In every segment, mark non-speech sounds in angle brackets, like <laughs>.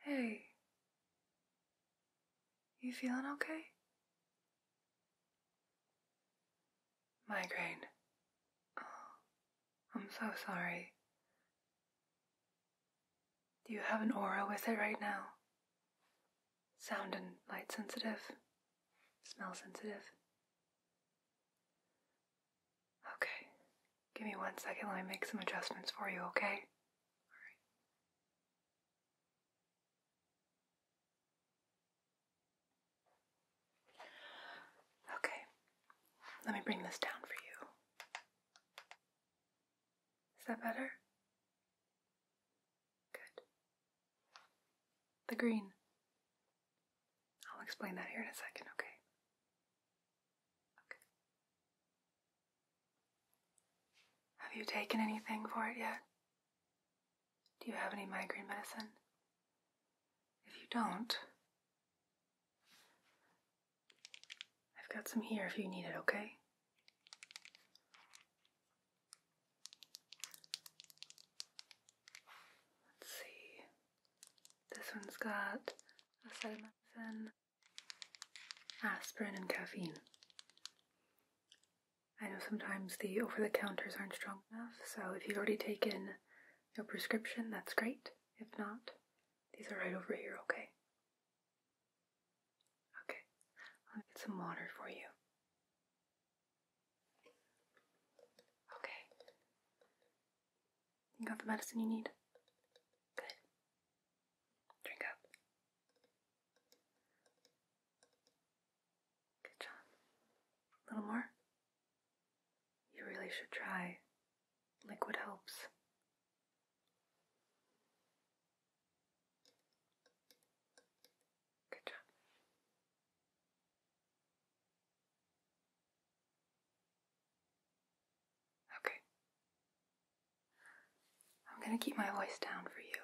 Hey, you feeling okay? Migraine. Oh, I'm so sorry. Do you have an aura with it right now? Sound and light sensitive, smell sensitive. Okay. Give me one second. Let me make some adjustments for you, okay? Alright. Okay. Let me bring this down for you. Is that better? Good. The green. I'll explain that here in a second, okay? Have you taken anything for it yet? Do you have any migraine medicine? If you don't, I've got some here if you need it, okay? Let's see. This one's got a acetaminophen, aspirin and caffeine. I know sometimes the over the counters aren't strong enough, so if you've already taken your prescription, that's great. If not, these are right over here, okay? Okay, I'll get some water for you. Okay, you got the medicine you need? Good. Drink up. Good job. A little more? You really should try. Liquid helps. Good job. Okay. I'm gonna keep my voice down for you.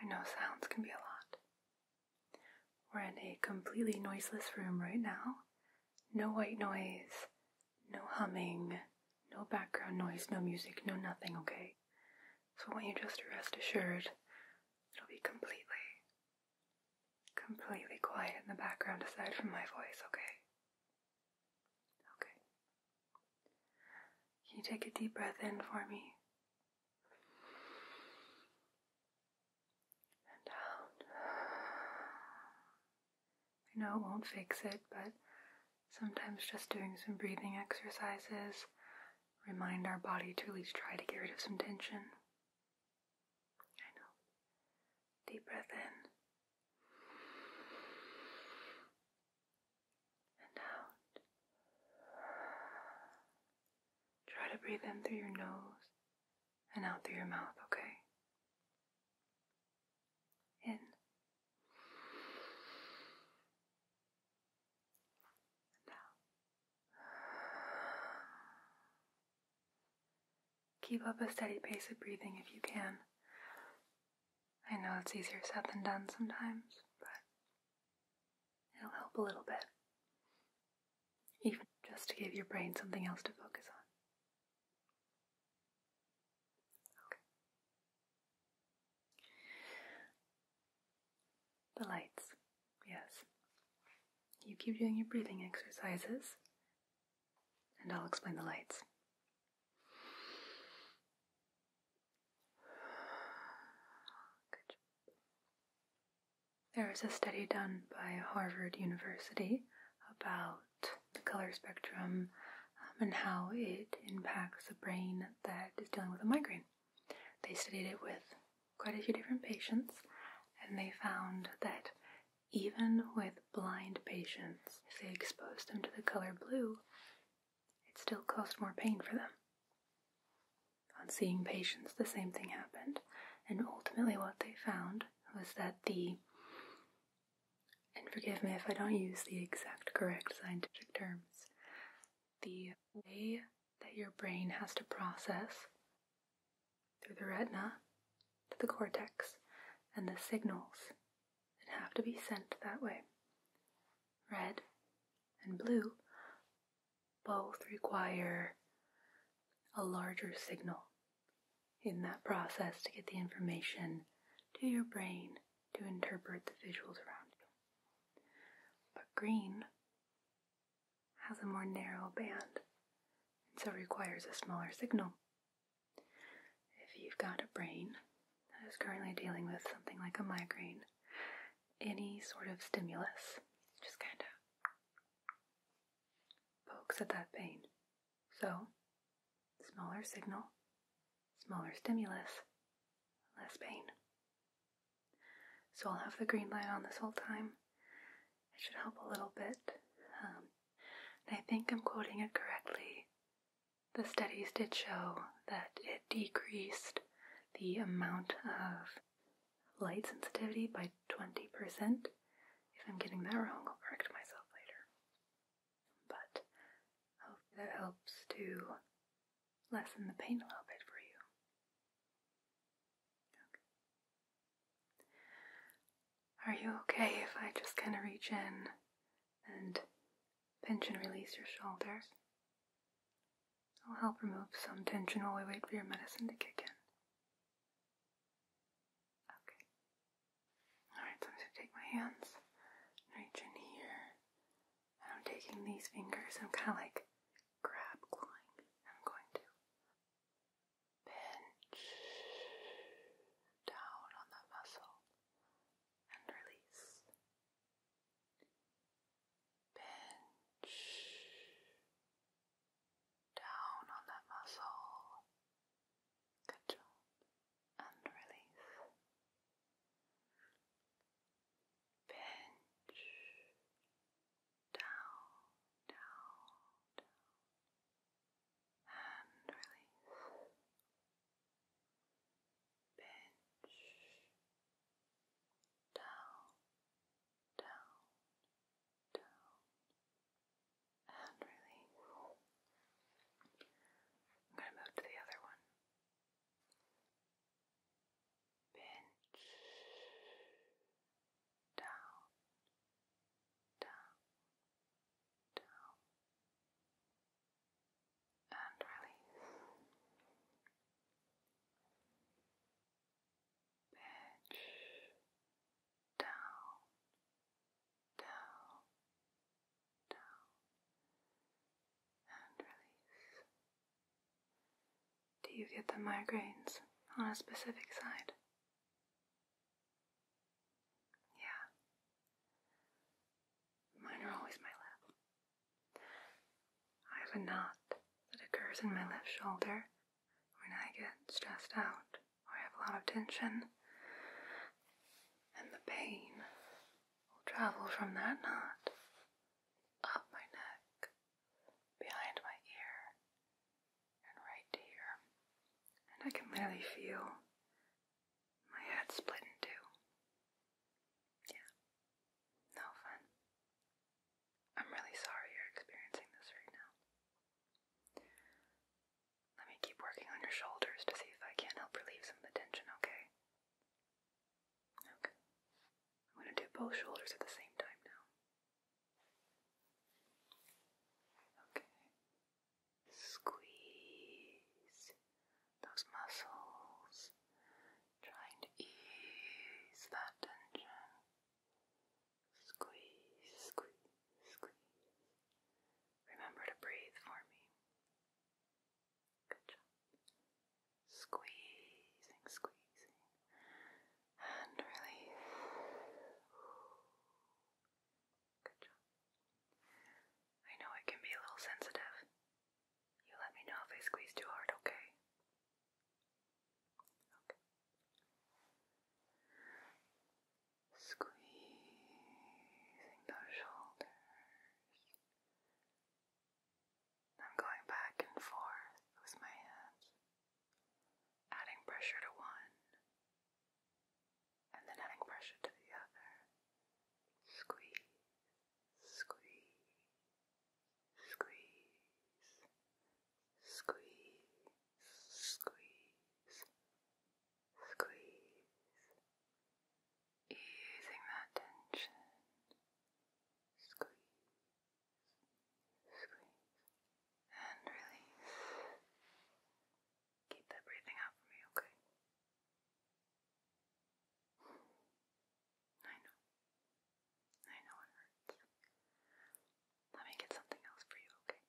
I know sounds can be a lot. We're in a completely noiseless room right now. No white noise, no humming, no background noise, no music, no nothing, okay? So I want you just to rest assured it'll be completely, completely quiet in the background aside from my voice, okay? Okay. Can you take a deep breath in for me? And out. Um, I know it won't fix it, but sometimes just doing some breathing exercises remind our body to at least try to get rid of some tension. I know. Deep breath in and out. Try to breathe in through your nose and out through your mouth, okay? In and out. Keep up a steady pace of breathing if you can. I know it's easier said than done sometimes, but it'll help a little bit. Even just to give your brain something else to focus on. Okay. The lights, yes. You keep doing your breathing exercises, and I'll explain the lights. There was a study done by Harvard University about the color spectrum um, and how it impacts the brain that is dealing with a migraine. They studied it with quite a few different patients and they found that even with blind patients, if they exposed them to the color blue, it still caused more pain for them. On seeing patients, the same thing happened, and ultimately, what they found was that the and forgive me if I don't use the exact correct scientific terms. The way that your brain has to process through the retina to the cortex, and the signals that have to be sent that way. Red and blue both require a larger signal in that process to get the information to your brain to interpret the visuals around you. But green has a more narrow band and so requires a smaller signal. If you've got a brain that is currently dealing with something like a migraine, any sort of stimulus just kind of pokes at that pain. So, smaller signal, smaller stimulus, less pain. So I'll have the green light on this whole time. It should help a little bit um, I think I'm quoting it correctly, the studies did show that it decreased the amount of light sensitivity by 20%. If I'm getting that wrong, I'll correct myself later. But that helps to lessen the pain a little bit for you. Are you okay if I just kind of reach in and pinch and release your shoulders? I'll help remove some tension while we wait for your medicine to kick in. Okay. Alright, so I'm going to take my hands reach in here. And I'm taking these fingers, I'm kind of like grab clawing. I'm going to Pinch down on that muscle and release. Pinch down on that muscle. Good And release. Pinch down, down, down and release. Pinch down, down, down, and release. I'm going to move to the other one. Pinch down, down, down, and release. Pitch down, down, down, and release. Do you get the migraines on a specific side? Yeah. Mine are always my left. I have a knot that occurs in my left shoulder when I get stressed out or I have a lot of tension, and the pain will travel from that knot up my neck, behind my ear, and right here. And I can literally feel my head split in two. Yeah. No fun. I'm really sorry you're experiencing this right now. Let me keep working on your shoulders to see if I can help relieve some of the tension, okay? Okay. I'm going to do both shoulders at the same time now. Okay. Squeeze those muscles, trying to ease that tension. Squeeze, squeeze, squeeze. Remember to breathe for me. Good job. Squeezing, squeezing. And release. Good job. I know it can be a little sensitive. You let me know if I squeeze too hard, okay? Okay. Squeezing those shoulders. I'm going back and forth with my hands, adding pressure to one and then adding pressure to the other. Squeeze, squeeze, squeeze, squeeze, squeeze, squeeze, easing that tension. Squeeze, squeeze, and release. Keep that breathing out for me, okay? I know. I know it hurts. Let me get something else for you, okay?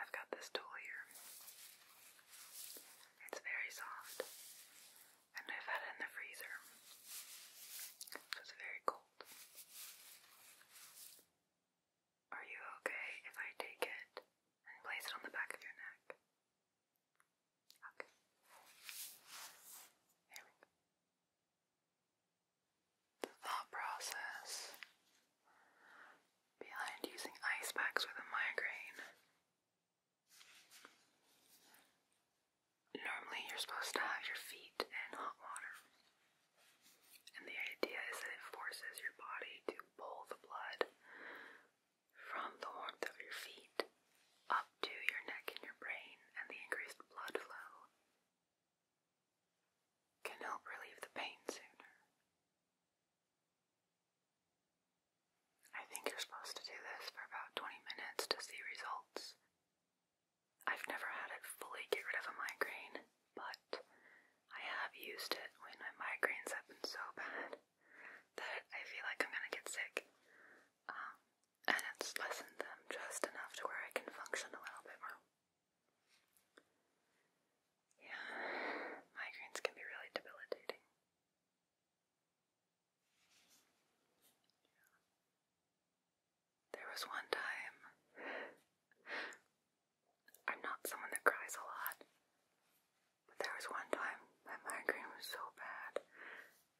I've got this tool here. It's very soft and I've had in the freezer, so it's very cold. Are you okay if I take it and place it on the back of your neck? Okay. There we go. The thought process behind using ice packs with a migraine Normally, you're supposed to have your feet in hot water. And the idea is that it forces your body to pull the blood from the warmth of your feet up to your neck and your brain, and the increased blood flow can help relieve the pain sooner. I think you're supposed to do this for about 20 minutes to see results. I've never had it fully get rid of a migraine, but I have used it when my migraines have been so bad that I feel like I'm gonna get sick. Um, and it's lessened them just enough to where I can function a little bit more. Yeah, migraines can be really debilitating. There was one time. I'm not someone that cries a lot, but there was one time my migraine was so bad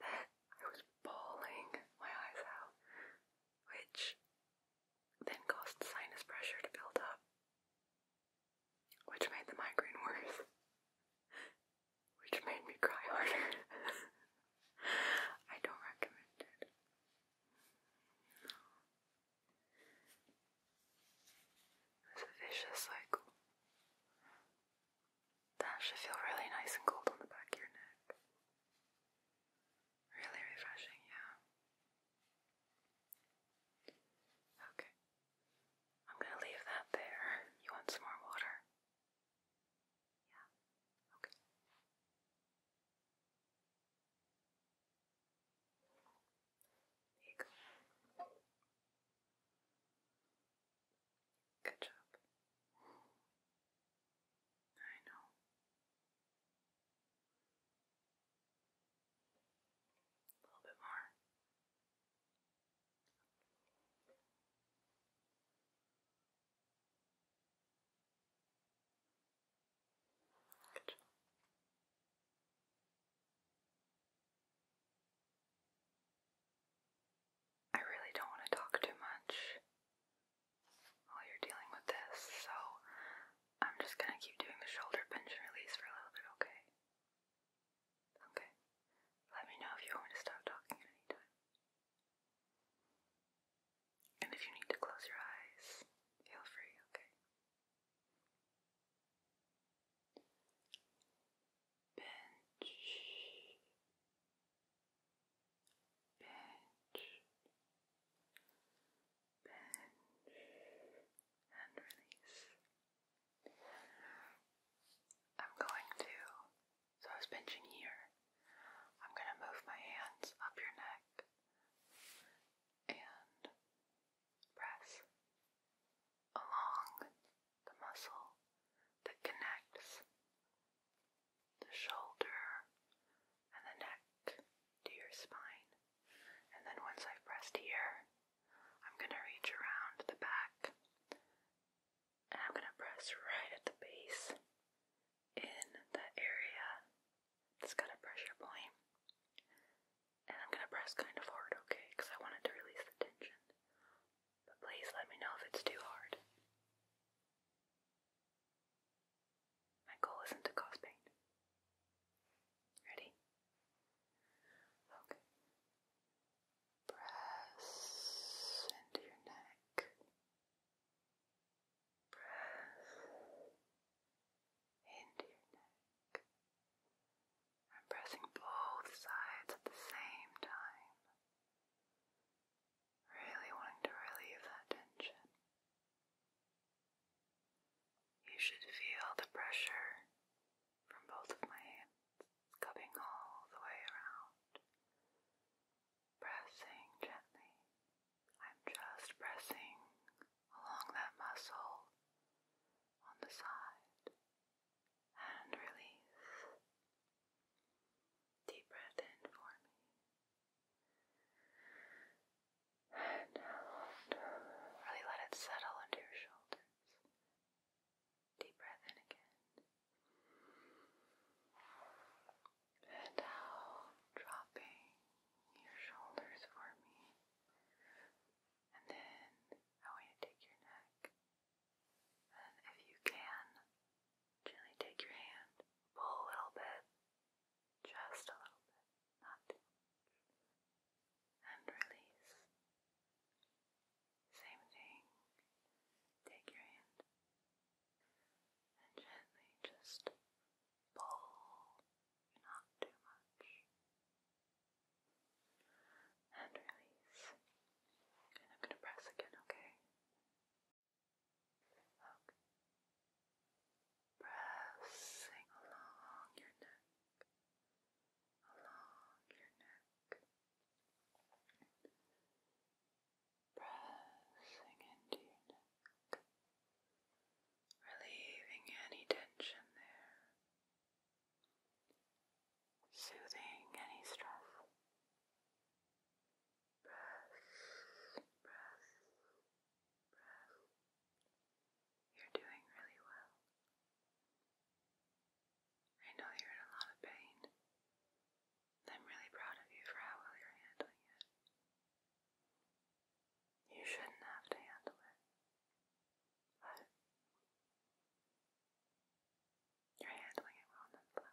that I was bawling my eyes out, which then caused sinus pressure to build up, which made the migraine worse, which made me cry harder. <laughs> I don't recommend it. It's a vicious cycle. That should feel really nice and cold on the back of your neck. Really refreshing, yeah. Okay. I'm gonna leave that there. You want some more water? Yeah. Okay. There you go. Good job. I know. A little bit more. I really don't want to talk too much while you're dealing with this, so I'm just going to keep doing the shoulder pinch and release for a little bit, okay? Okay. Let me know if you want me to stop talking at And if you need to close your eyes, feel free, okay? Bench. Bench. Bench. And release. I'm going to, so I was pinching here, I'm going to move my hands up your neck and press along the muscle that connects the shoulder and the neck to your spine. And then once I've pressed here, I'm going to reach around the back and I'm going to press right at the base in the area that kind of pressure And I'm going to press kind of hard, okay? Because I wanted to release the tension. But please let me know if it's too hard. My goal isn't to cause pain. Ready? Okay. Press into your neck. Press into your neck. I'm pressing both sides at the same time. Really wanting to relieve that tension. You should feel the pressure from both of my hands, cupping all the way around. Pressing gently. I'm just pressing along that muscle on the side and release. Deep breath in for me. And out. Really let it settle into your shoulders. Deep breath in again. And now dropping your shoulders for me. And then I want you to take your neck. And if you can, gently take your hand, pull a little bit, just a little bit, not too and release. Same thing. Take your hand and gently just pull, not too much, and release. And I'm going to press again, okay? Okay. Pressing along your neck along your neck, pressing into your neck, relieving any tension there, soothing any stress. Breath, breath, breath. You're doing really well. I know you're in a lot of pain. I'm really proud of you for how well you're handling it. You shouldn't have to handle it, but you're handling it well nonetheless.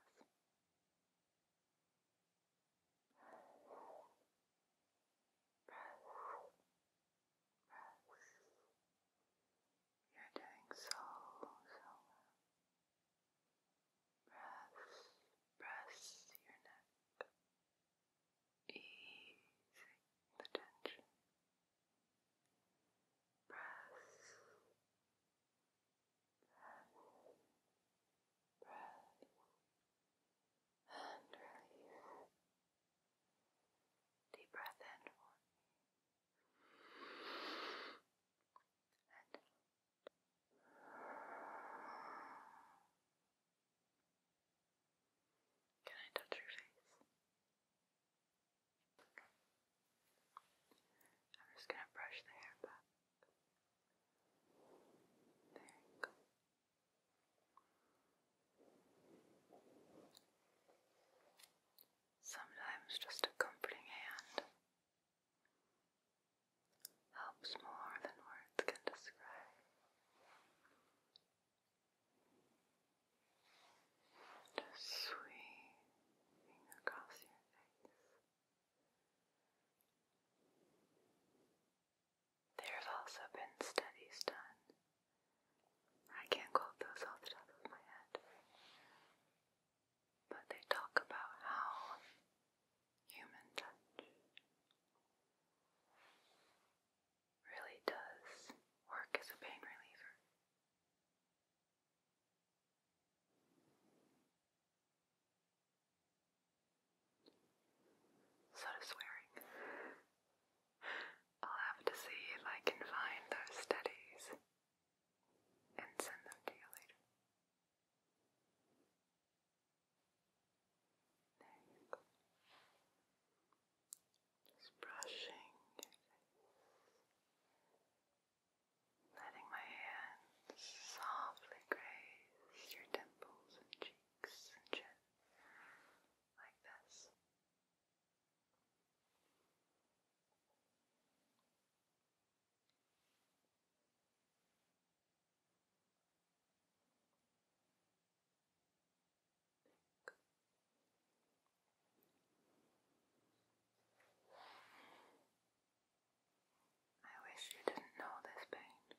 You're doing so, so well. Press, press your neck. Easing the tension. Press, press, press, and release. Deep breath in for me and Can I touch your face? I'm just going to brush the hair back. There you go. Sometimes just a comforting hand helps more than words can describe. Just sweeping across your face. There have also been studies done I can't quote those off the top of my head. But they talk about how human touch really does work as a pain reliever. So does swearing. I'll have to see if I can find those studies and send them to you later. There Just brushing letting my hands softly graze your temples and cheeks like this. I wish you didn't know this pain.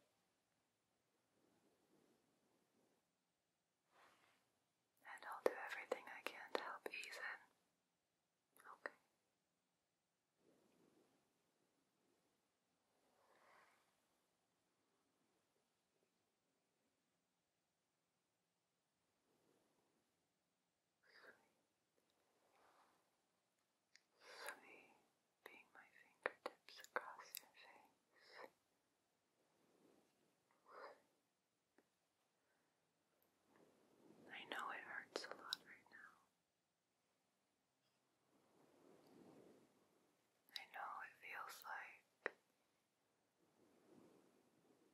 And I'll do everything I can to help ease it. Okay. Sweet. Sweet being my fingertips across your face. I know it hurts a lot right now. I know it feels like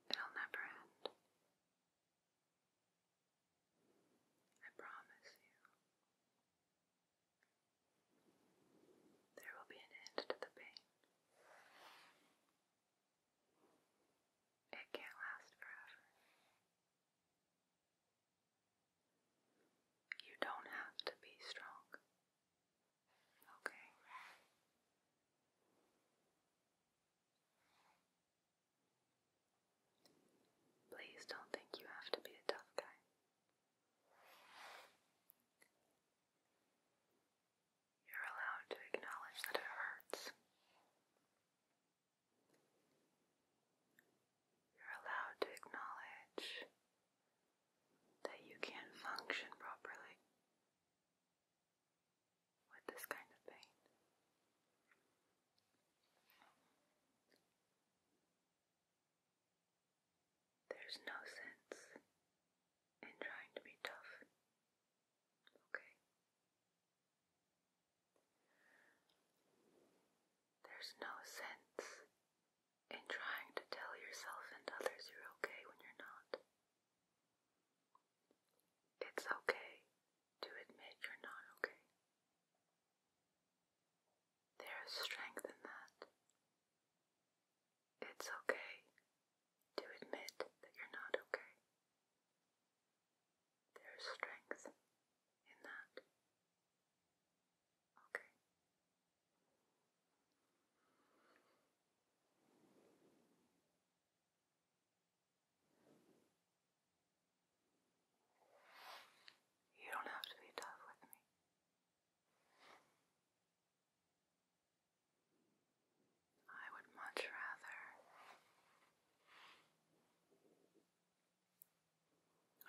it'll never end. I promise you, there will be an end to the pain. It can't last forever. You don't have to be strong. Okay? Please don't think you have to be a tough guy. You're allowed to acknowledge that it hurts. You're allowed to acknowledge that you can't function properly with this kind of pain. There's no sense in trying to be tough. Okay? There's no sense in trying to tell yourself and others you're okay when you're not. It's okay to admit you're not okay. There is strength in that. It's okay to admit that you're not okay. There's strength in that. Okay. You don't have to be tough with me. I would much rather.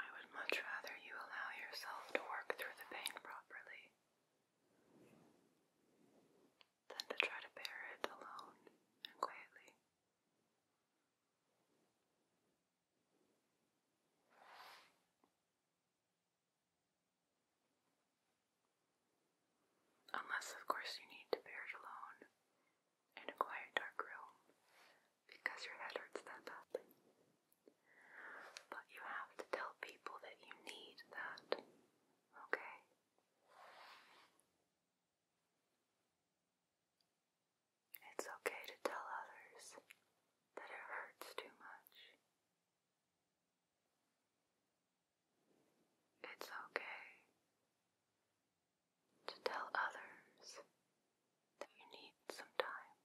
I would much rather you allow yourself to work through the pain properly than to try to bear it alone and quietly. Unless, of course, you need to perish alone in a quiet, dark room because your head hurts that badly. But you have to tell people that you need that, okay? It's okay to tell others that it hurts too much. It's okay to tell others that you need some time.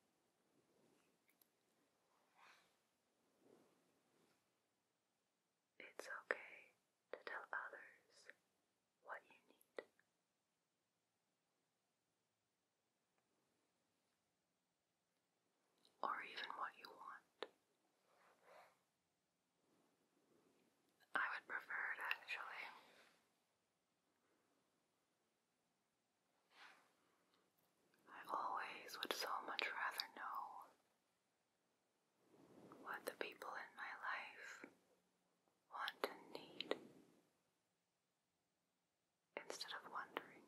It's okay to tell others what you need or even what you want. I would prefer it actually. I always would so much rather know what the people in my life want and need instead of wondering.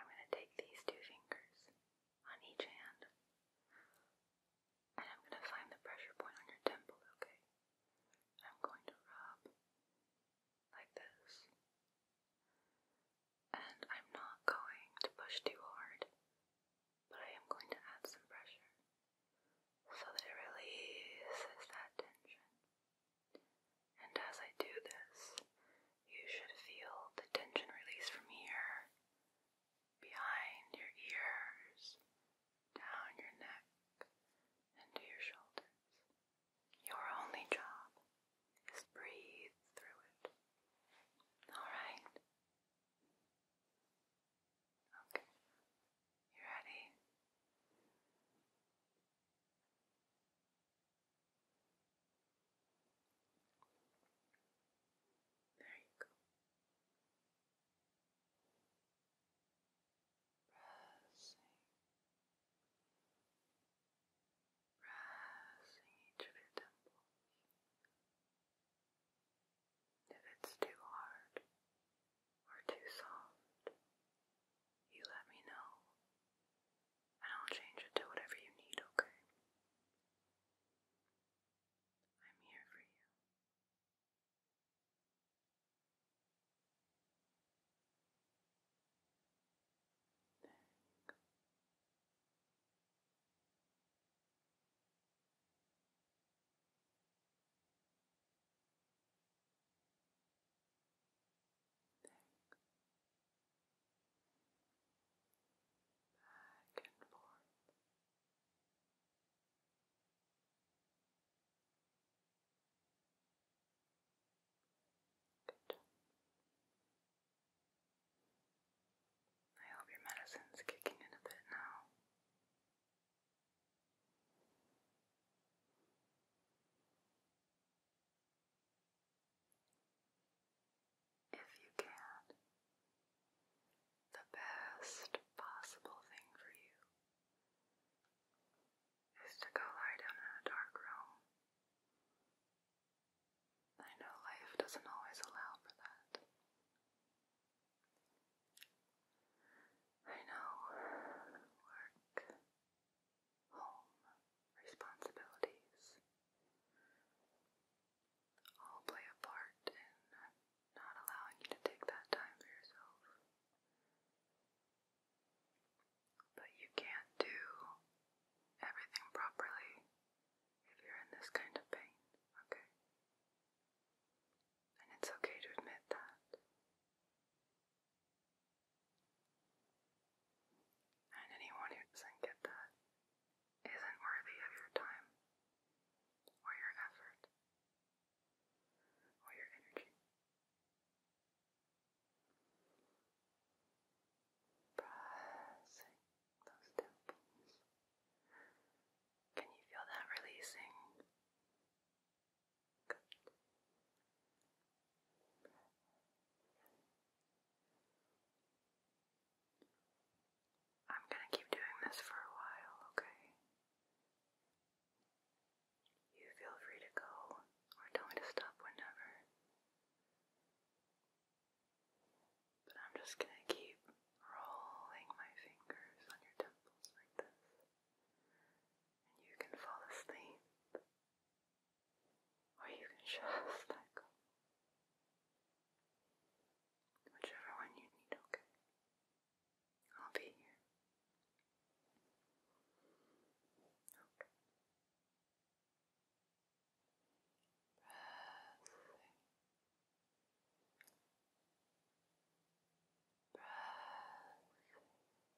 I'm going to take these two fingers on each hand and I'm going to find the pressure point on your temple, okay? I'm going to rub like this. And I'm not going to push too hard, but I am going to add some pressure so that it releases that tension. And as I do this, you should feel the tension release from here, behind your ears, down your neck, and to your shoulders. Your only job is breathe through it. Alright? Okay. You ready? There you go. Pressing, pressing each of your temples. If it's too hard or too soft, you let me know, and I'll change it to whatever you need, okay? I'm here for you. There you go back, back and forth. Good. I hope your medicine's kicking in a bit now. If you can, the best possible thing for you is to go lie down in a dark room. I know life doesn't always allow for that. I know home responsibilities all play a part in not allowing you to take that time for yourself. But you can't do everything properly if you're in this kind of pain, okay? And it's okay to admit that. And anyone who doesn't get that isn't worthy of your time or your effort or your energy. Pressing those temples. Can you feel that releasing? Good. I'm gonna keep doing this for a while, okay? You feel free to go or tell me to stop whenever. But I'm just gonna keep rolling my fingers on your temples like this. And you can fall asleep or you can just <laughs> let go. Whichever one you need, okay? I'll be here. Okay. Breathing. Breathing.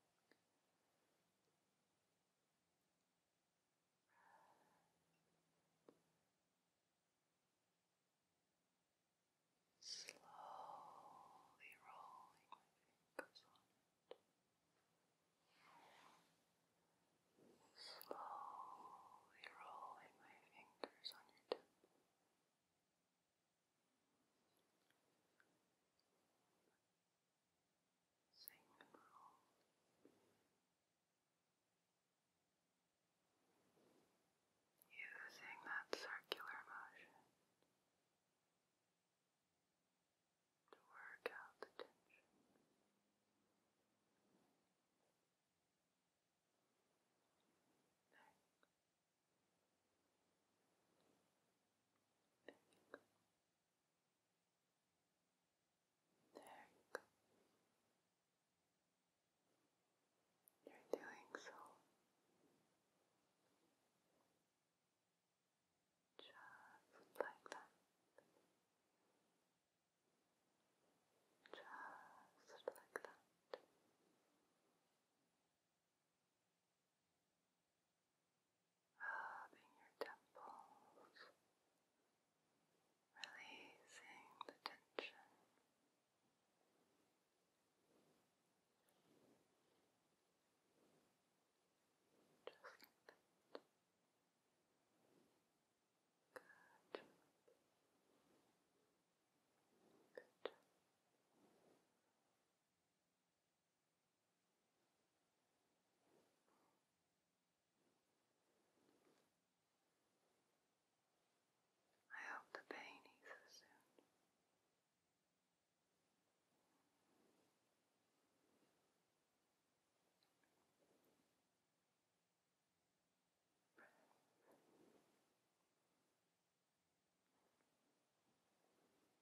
Slowly rolling my fingers on it. Slowly rolling my fingers on your temple sing Using that circular motion to work out the tension. Next. Next. There you go. You're doing so just like that. Just like that rubbing your temples, releasing the tension. Just like that. Good Good I hope the pain eases soon. Breath.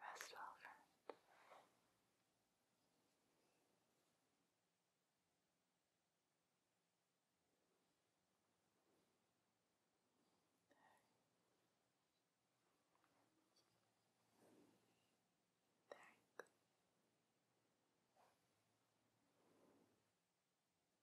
Rest well, friend. There. There